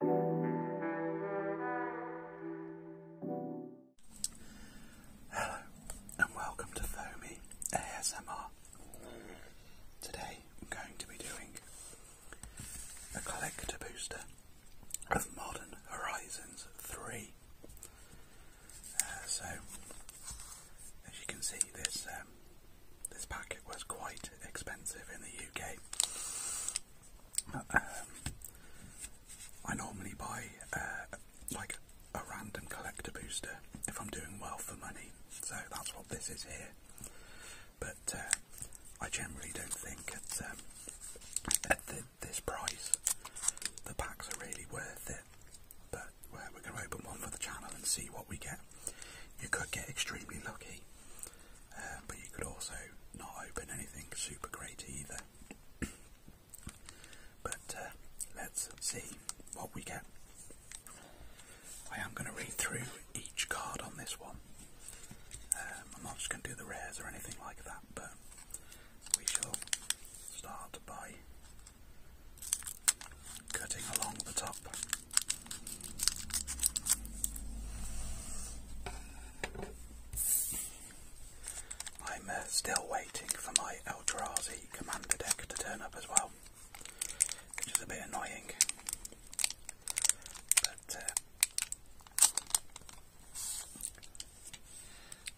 Hello and welcome to Foamy ASMR. Today I'm going to be doing a collector booster of Modern Horizons 3. Uh, so, as you can see, this um, this packet was quite expensive in the UK. I normally buy uh, like a random collector booster if I'm doing well for money, so that's what this is here. But uh, I generally don't think at, um, at this price the packs are really worth it. But we're going to open one for the channel and see what we get. You could get extremely lucky um, but you could also not open anything super great either. but uh, let's see what we get. I am going to read through each card on this one. Um, I'm not just going to do the rares or anything like that, but we shall start by cutting along the top. I'm uh, still waiting for my Eldrazi commander deck to turn up as well, which is a bit annoying. But uh,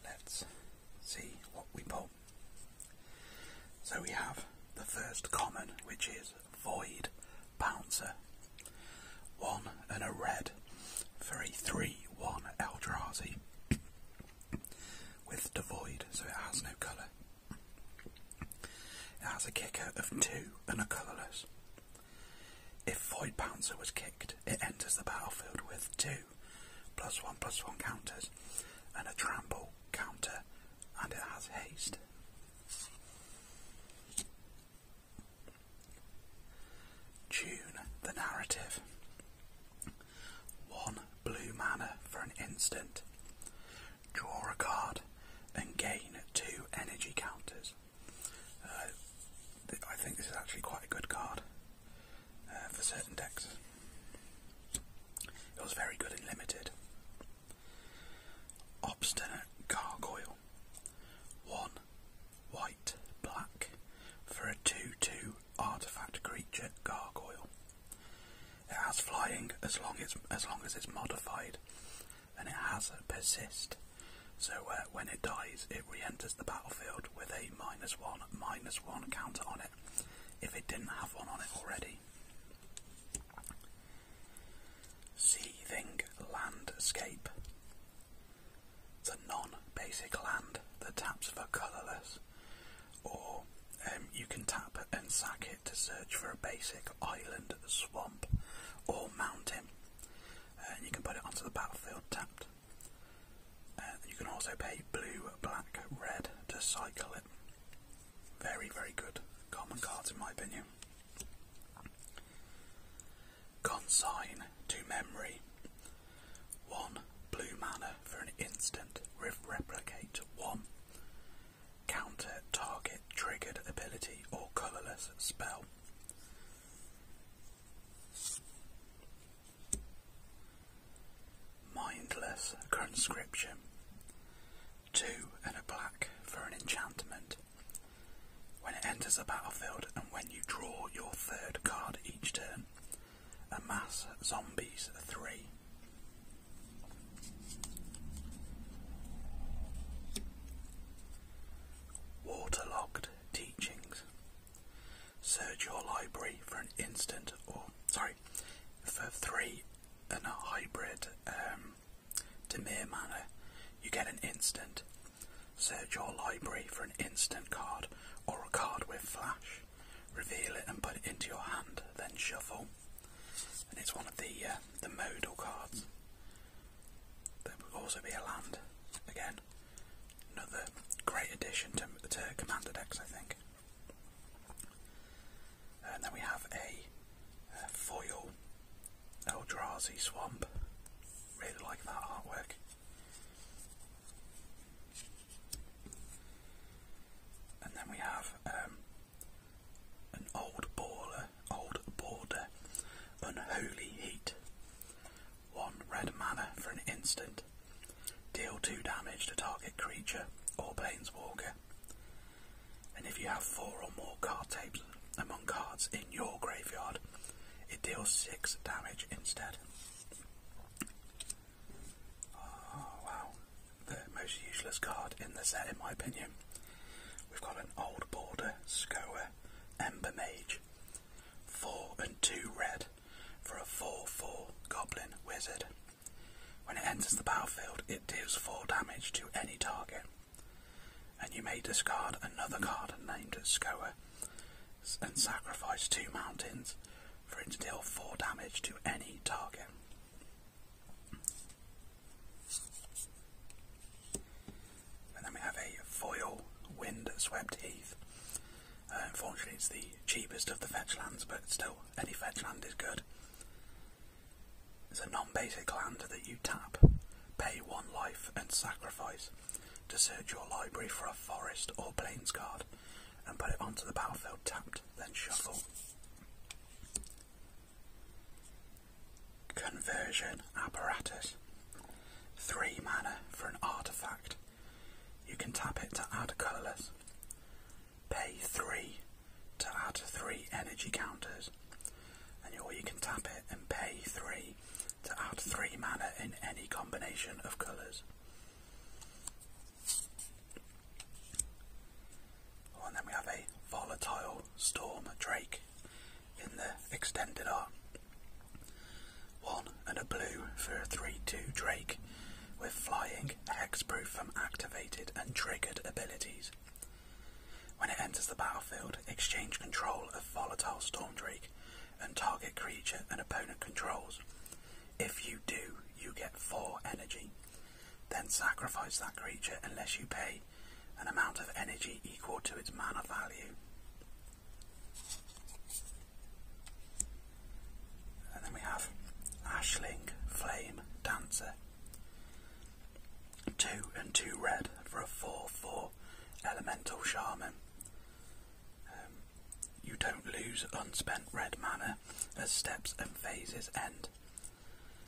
let's see what we pull. So we have the first common, which is void bouncer. One and a red three three one a 3 Eldrazi with the void, so it has no colour. It has a kicker of 2 and a colourless. If Void Bouncer was kicked, it enters the battlefield with 2 plus 1 plus 1 counters and a trample counter and it has haste. Tune the narrative. One blue mana for an instant. Draw a card and gain two energy counters. Uh, I think this is actually quite a good card uh, for certain decks. It was very good and limited. Obstinate gargoyle. One white black for a 2 2 artifact creature gargoyle. It has flying as long as, as long as it's modified and it has a persist. So uh, when it dies, it re enters the battlefield with a minus one, minus one counter on it if it didn't have one on it already. Seething landscape. The non-basic land that taps for colourless, or um, you can tap and sack it to search for a basic island, swamp, or mountain. and you can put it onto the battlefield tapped. Uh, you can also pay blue, black, red to cycle it. Very, very good. Common cards, in my opinion. Consign to memory. One blue mana for an instant replicate one. Counter target triggered ability or colourless spell. Mindless conscription. Two and a black for an enchantment. When it enters the battlefield and when you draw your third card each turn, amass zombies three. Waterlogged Teachings. Search your library for an instant or sorry for three and a hybrid um, Demir manner. You get an instant. Search your library for an instant card or a card with flash. Reveal it and put it into your hand, then shuffle. And it's one of the uh, the modal cards. There will also be a land again. Another great addition to, Commander decks, I think. And then we have a, a foil Eldrazi Swamp. Really like that artwork. And then we have um, an old baller, old border, unholy heat, one red mana for an instant. Deal two damage to target creature or planeswalker. And if you have four or more card tapes among cards in your graveyard, it deals six damage instead. Ah, wow, the most useless card in the set, in my opinion. We've got an old border Skoa Ember Mage. 4 and 2 red for a 4 4 goblin wizard. When it enters the battlefield, it deals 4 damage to any target. And you may discard another card named Skoa and sacrifice 2 mountains for it to deal 4 damage to any target. And then we have a foil wind swept heath. Uh, unfortunately, it's the cheapest of the fetch lands, but still, any fetch land is good. It's a non basic land that you tap, pay one life, and sacrifice to search your library for a forest or plains card and put it onto the battlefield tapped, then shuffle. Conversion apparatus. 3 mana for an artifact. You can tap it to add colourless. Pay 3 to add 3 energy counters. And or you can tap it and pay 3 to add 3 mana in any combination of colours. Oh, and then we have a Volatile Storm Drake in the extended art. One and a blue for a 3-2 Drake with flying, hexproof from activated and triggered abilities. When it enters the battlefield, exchange control of Volatile Storm Drake and target creature an opponent controls. If you do, you get 4 energy. Then sacrifice that creature unless you pay an amount of energy equal to its mana value. And then we have Ashling Flame Dancer. Two and two red for a 4 4 elemental shaman. Um, you don't lose unspent red mana as steps and phases end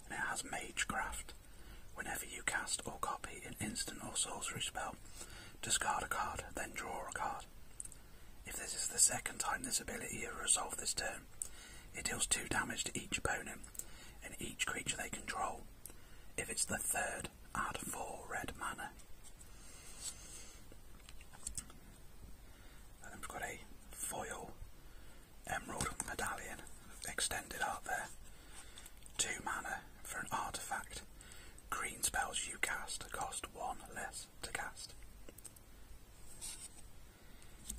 and it has Magecraft. Whenever you cast or copy an instant or sorcery spell, discard a card, then draw a card. If this is the second time this ability has resolved this turn, it deals 2 damage to each opponent and each creature they control. If it's the third, add 4 red mana. And then we got a foil emerald medallion extended out there. Two mana for an artifact. Green spells you cast cost one less to cast.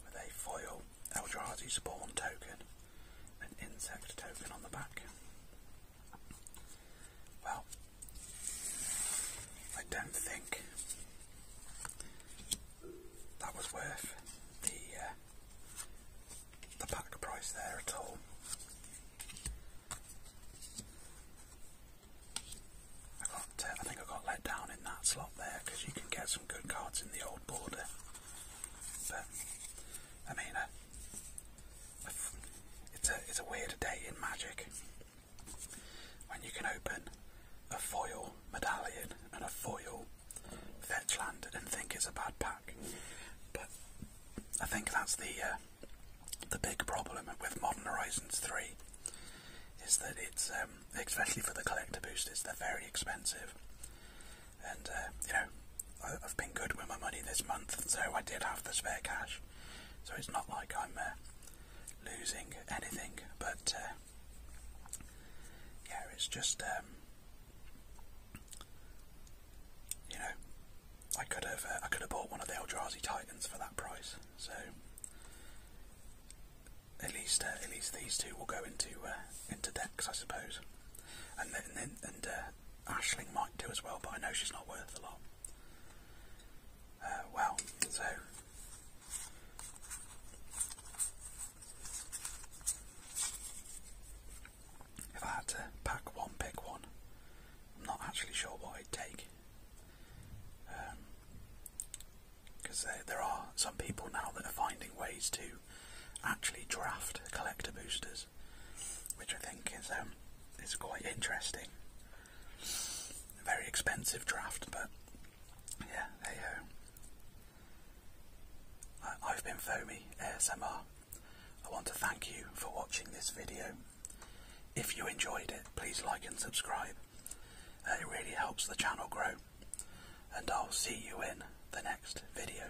With a foil Eldrazi spawn token, an insect token on the back. Well, I don't think that was worth the uh, the pack price there at all. I got, uh, I think I got let down in that slot there because you can get some good cards in the old border, but I mean, uh, it's a it's a weird day in Magic when you can open a foil medallion, and a foil fetch and think it's a bad pack. But I think that's the uh, the big problem with Modern Horizons 3 is that it's um, especially for the collector boosters they're very expensive. And uh, you know, I, I've been good with my money this month, so I did have the spare cash. So it's not like I'm uh, losing anything, but uh, yeah, it's just, um, you know, I could have uh, I could have bought one of the Eldrazi Titans for that price. So at least uh, at least these two will go into uh, into decks, I suppose. And then and, and uh, Ashling might do as well, but I know she's not worth a lot. Uh, well, so if I had to pack one, pick one, I'm not actually sure what I'd take. Because um, there, are some people now that are finding ways to actually draft collector boosters, which I think is um, is quite interesting very expensive draft, but yeah, there you uh, go. I, have been Foamy ASMR. I want to thank you for watching this video. If you enjoyed it, please like and subscribe. Uh, it really helps the channel grow. And I'll see you in the next video.